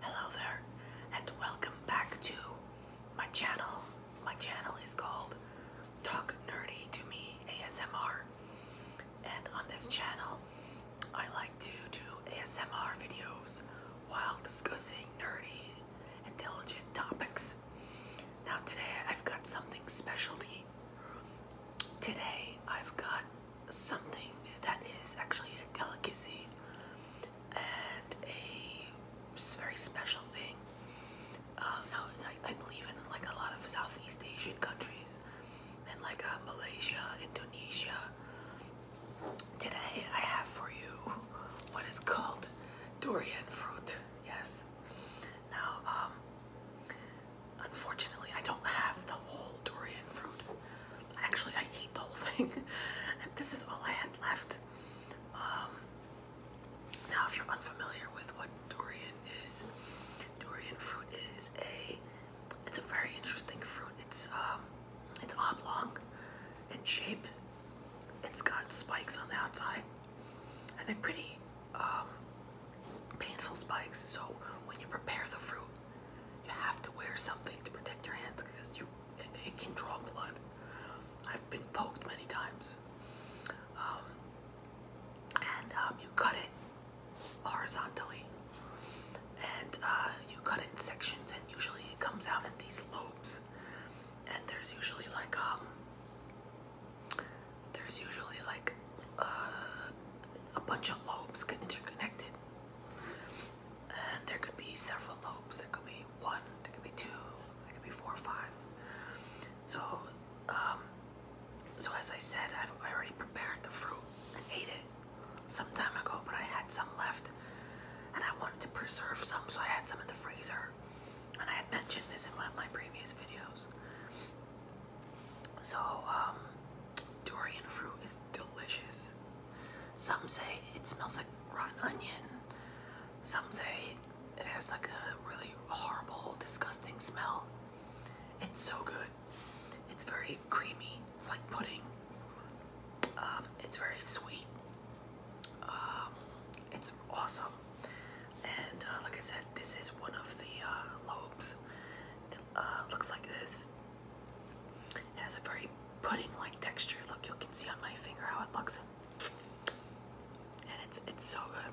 Hello there and welcome back to my channel. My channel is called Talk Nerdy to Me ASMR and on this channel I like to do ASMR videos while discussing nerdy, intelligent topics. Now today I've got something specialty. Today I've got something that is actually a delicacy and a very special thing. Uh, now, I, I believe in like a lot of Southeast Asian countries and like uh, Malaysia, Indonesia. Today I have for you what is called durian fruit. Yes. Now, um, unfortunately, I don't have the whole durian fruit. Actually, I ate the whole thing, and this is all I had left. Um, now, if you're unfamiliar with what durian is, durian fruit is a it's a very interesting fruit. It's um, it's oblong in shape. It's got spikes on the outside, and they're pretty um, painful spikes. So when you prepare the fruit, you have to wear something to protect your hands because you it, can draw blood. I've been poked many times. Um, and um, you cut it horizontally, and uh, you cut it in sections, and usually it comes out in these lobes. And there's usually like um, there's usually like uh, a bunch of lobes can interconnected. And there could be several lobes. There could be one, there could be two, there could be four or five. So, um, so as I said, I've already prepared the fruit. I ate it some time ago, but I had some left. And I wanted to preserve some, so I had some in the freezer. And I had mentioned this in one of my previous videos. So, um, durian fruit is delicious. Some say it smells like rotten onion. Some say it has like a really horrible, disgusting smell. It's so good. It's very creamy. It's like pudding. Um, it's very sweet. Um, it's awesome. And uh, like I said, this is one of the uh, lobes. It uh, looks like this. It has a very pudding-like texture. Look, you can see on my finger how it looks, and it's it's so good.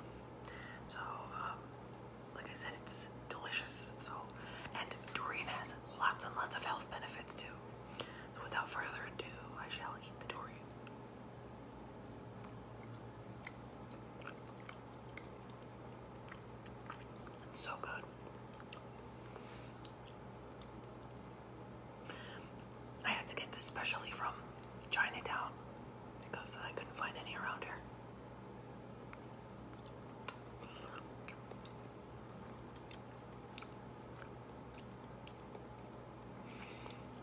So, um, like I said, it's delicious. So, and durian has lots and lots of health benefits too. So without further ado, I shall eat the durian so good. I had to get this specially from Chinatown because I couldn't find any around here.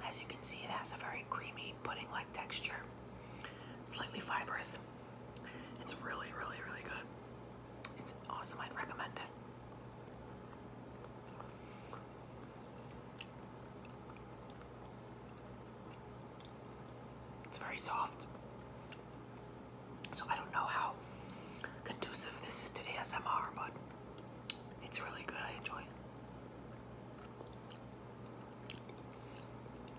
As you can see, it has a very creamy pudding like texture slightly fibrous. It's really, really, really good. It's awesome. I'd recommend it. It's very soft. So I don't know how conducive this is to ASMR, but it's really good. I enjoy it.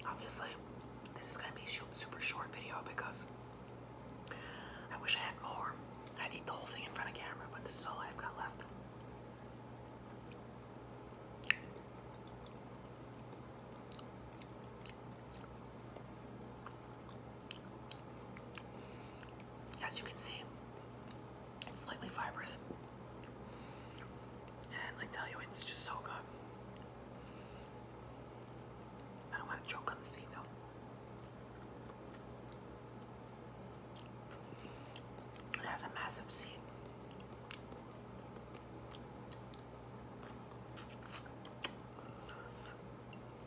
Obviously, this is going to be a super short video because I wish I had more. I'd eat the whole thing in front of camera, but this is all I've got left. As you can see, it's slightly fibrous. And I tell you, it's just so good. I don't want to choke on the seed though. It has a massive seed.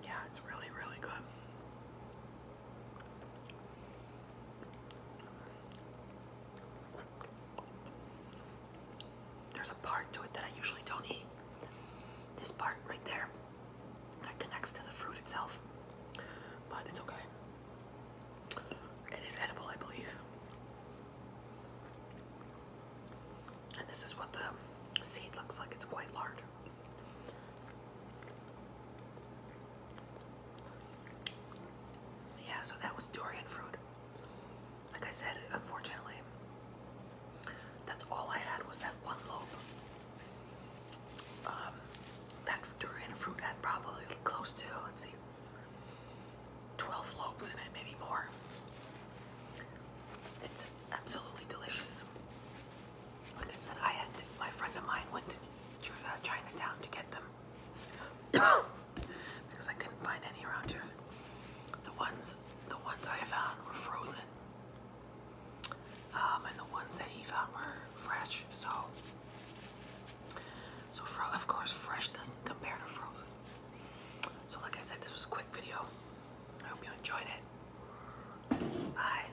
Yeah, it's really, really good. There's a part to it that I usually don't eat. This part right there that connects to the fruit itself. But it's okay. It is edible, I believe. And this is what the seed looks like. It's quite large. Yeah, so that was durian fruit. Like I said, unfortunately, that's all I had was that one lobe. Um, that durian fruit had probably close to, let's see, 12 lobes in it, maybe more. It's absolutely delicious like I said, I had to, my friend of mine went to uh, Chinatown to get them because I couldn't find any around here. The ones, the ones I found were frozen, um, and the ones that he found were fresh. So, so of course, fresh doesn't compare to frozen. So, like I said, this was a quick video. I hope you enjoyed it. Bye.